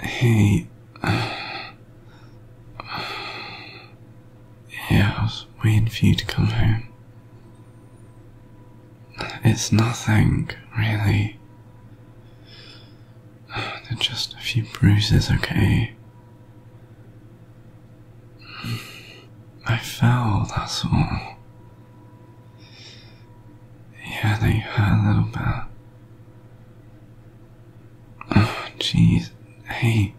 Hey. Yeah, I was waiting for you to come home. It's nothing, really. just a few bruises, okay? I fell, that's all. Yeah, they hurt a little bit. Oh, jeez. Hey.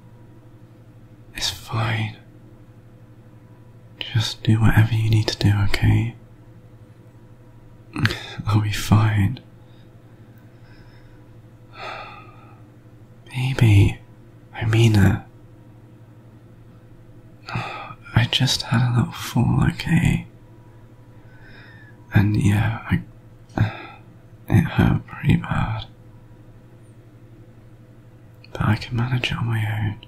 It's fine. Just do whatever you need to do, okay? I'll be fine. Baby, I mean uh, I just had a little fall, okay? And yeah, I, it hurt pretty bad. But I can manage it on my own.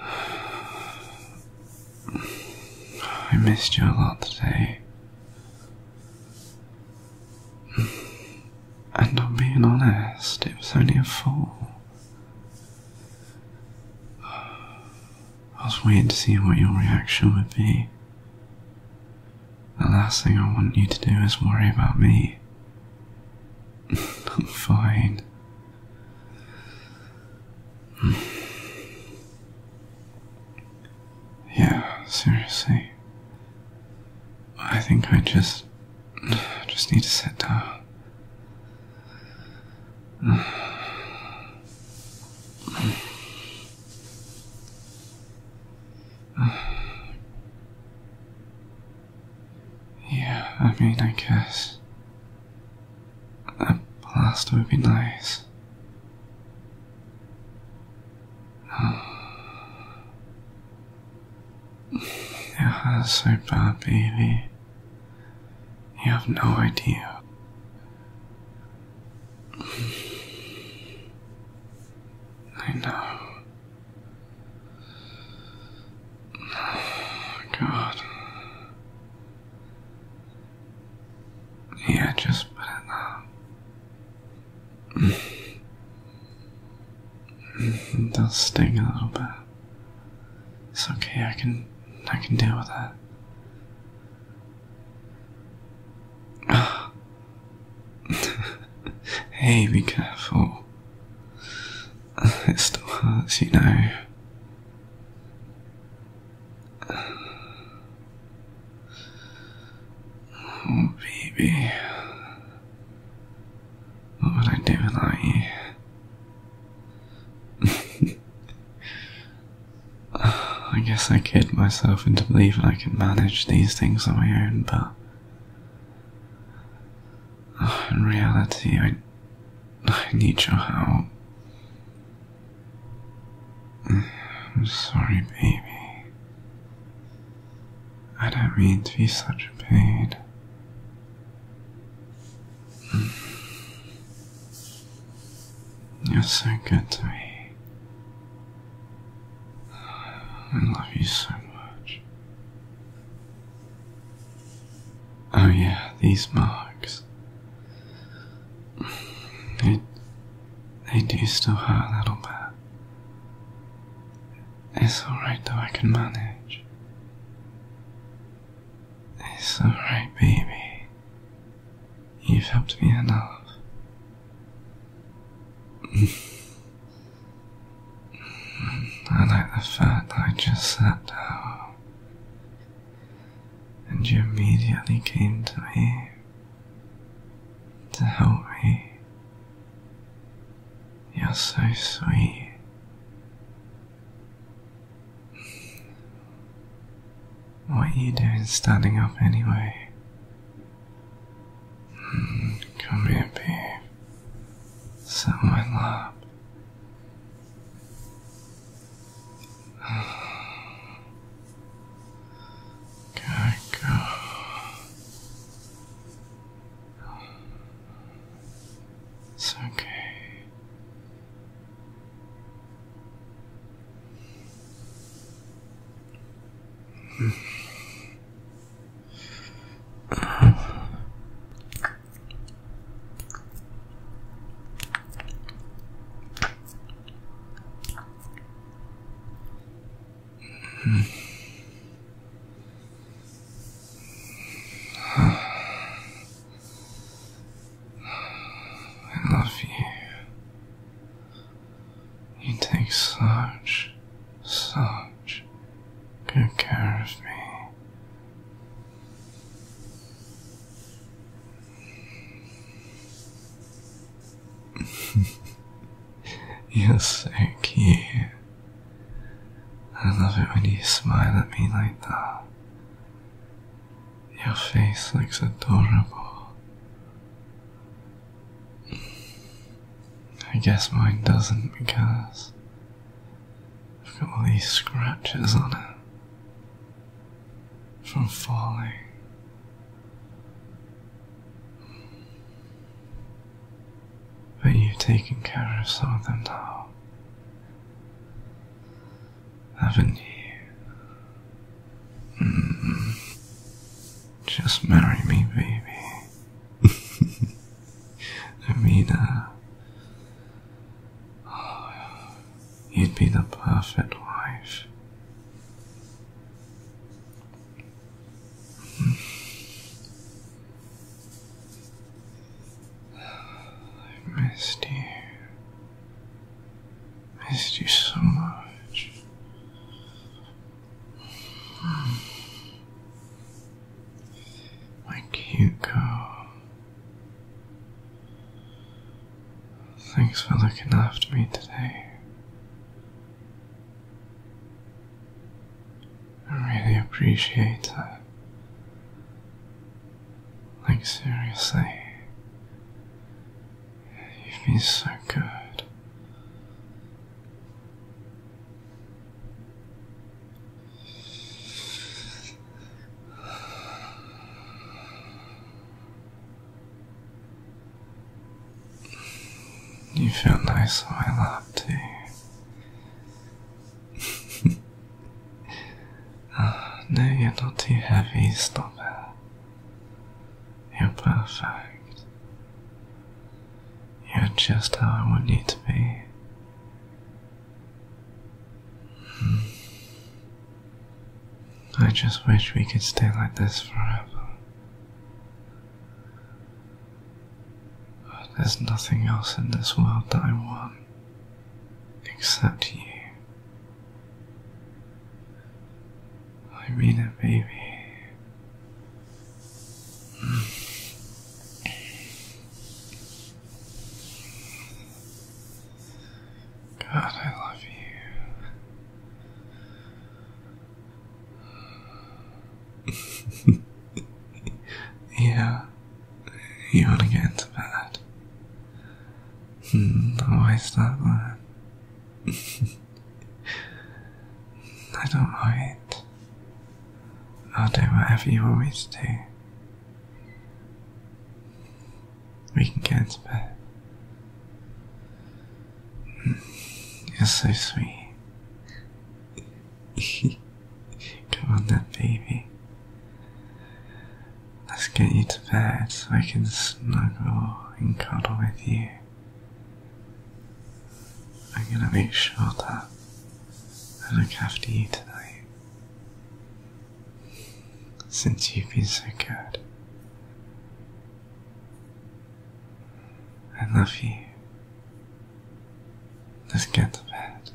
I missed you a lot today. And I'm being honest, it was only a fall. I was waiting to see what your reaction would be. The last thing I want you to do is worry about me. I'm fine. Yeah, seriously. I think I just. just need to sit down. Yeah, I mean, I guess. A blaster would be nice. You're so bad, baby. You have no idea. I know. God. Yeah, just put it there. it does sting a little bit. It's okay, I can I can deal with that. hey, be careful. It still hurts, you know. Oh, baby. What would I do without you? I guess I kid myself into believing I can manage these things on my own, but in reality, I, I need your help. I'm sorry, baby. I don't mean to be such a pain. You're so good to me. I love you so much. Oh, yeah, these marks. They, they do still hurt a little bit. It's alright though, I can manage. It's alright, baby. You've helped me enough. I like the fact I just sat down and you immediately came to me to help me. You're so sweet. What are you doing standing up anyway? Hmm, come here, babe. Sit on my lap. It's okay. Mm. Uh, I love you. You take such, such good care of me. You're so cute. I love it when you smile at me like that. Your face looks adorable. I guess mine doesn't because I've got all these scratches on it from falling. But you've taken care of some of them now, haven't you? Mm-hmm. Just marry me, baby. I you'd be the perfect wife. I missed you. Missed you so much. I can't go. Thanks for looking after me today. I really appreciate it. Like, seriously, you've been so good. You feel nice on my lap too. oh, no, you're not too heavy, stop it. You're perfect. You're just how I want you to be. Hmm. I just wish we could stay like this forever. But there's nothing else in this world that I want except you. I mean it, baby. God, I love you. yeah, you want to get into bed. why is that? I don't mind. I'll do whatever you want me to do. We can get to bed. Hmm. You're so sweet. Come on, then, baby. Let's get you to bed so I can snuggle and cuddle with you. I'm gonna make sure that I have to eat tonight. Since you've been so good. I love you. Let's get to bed.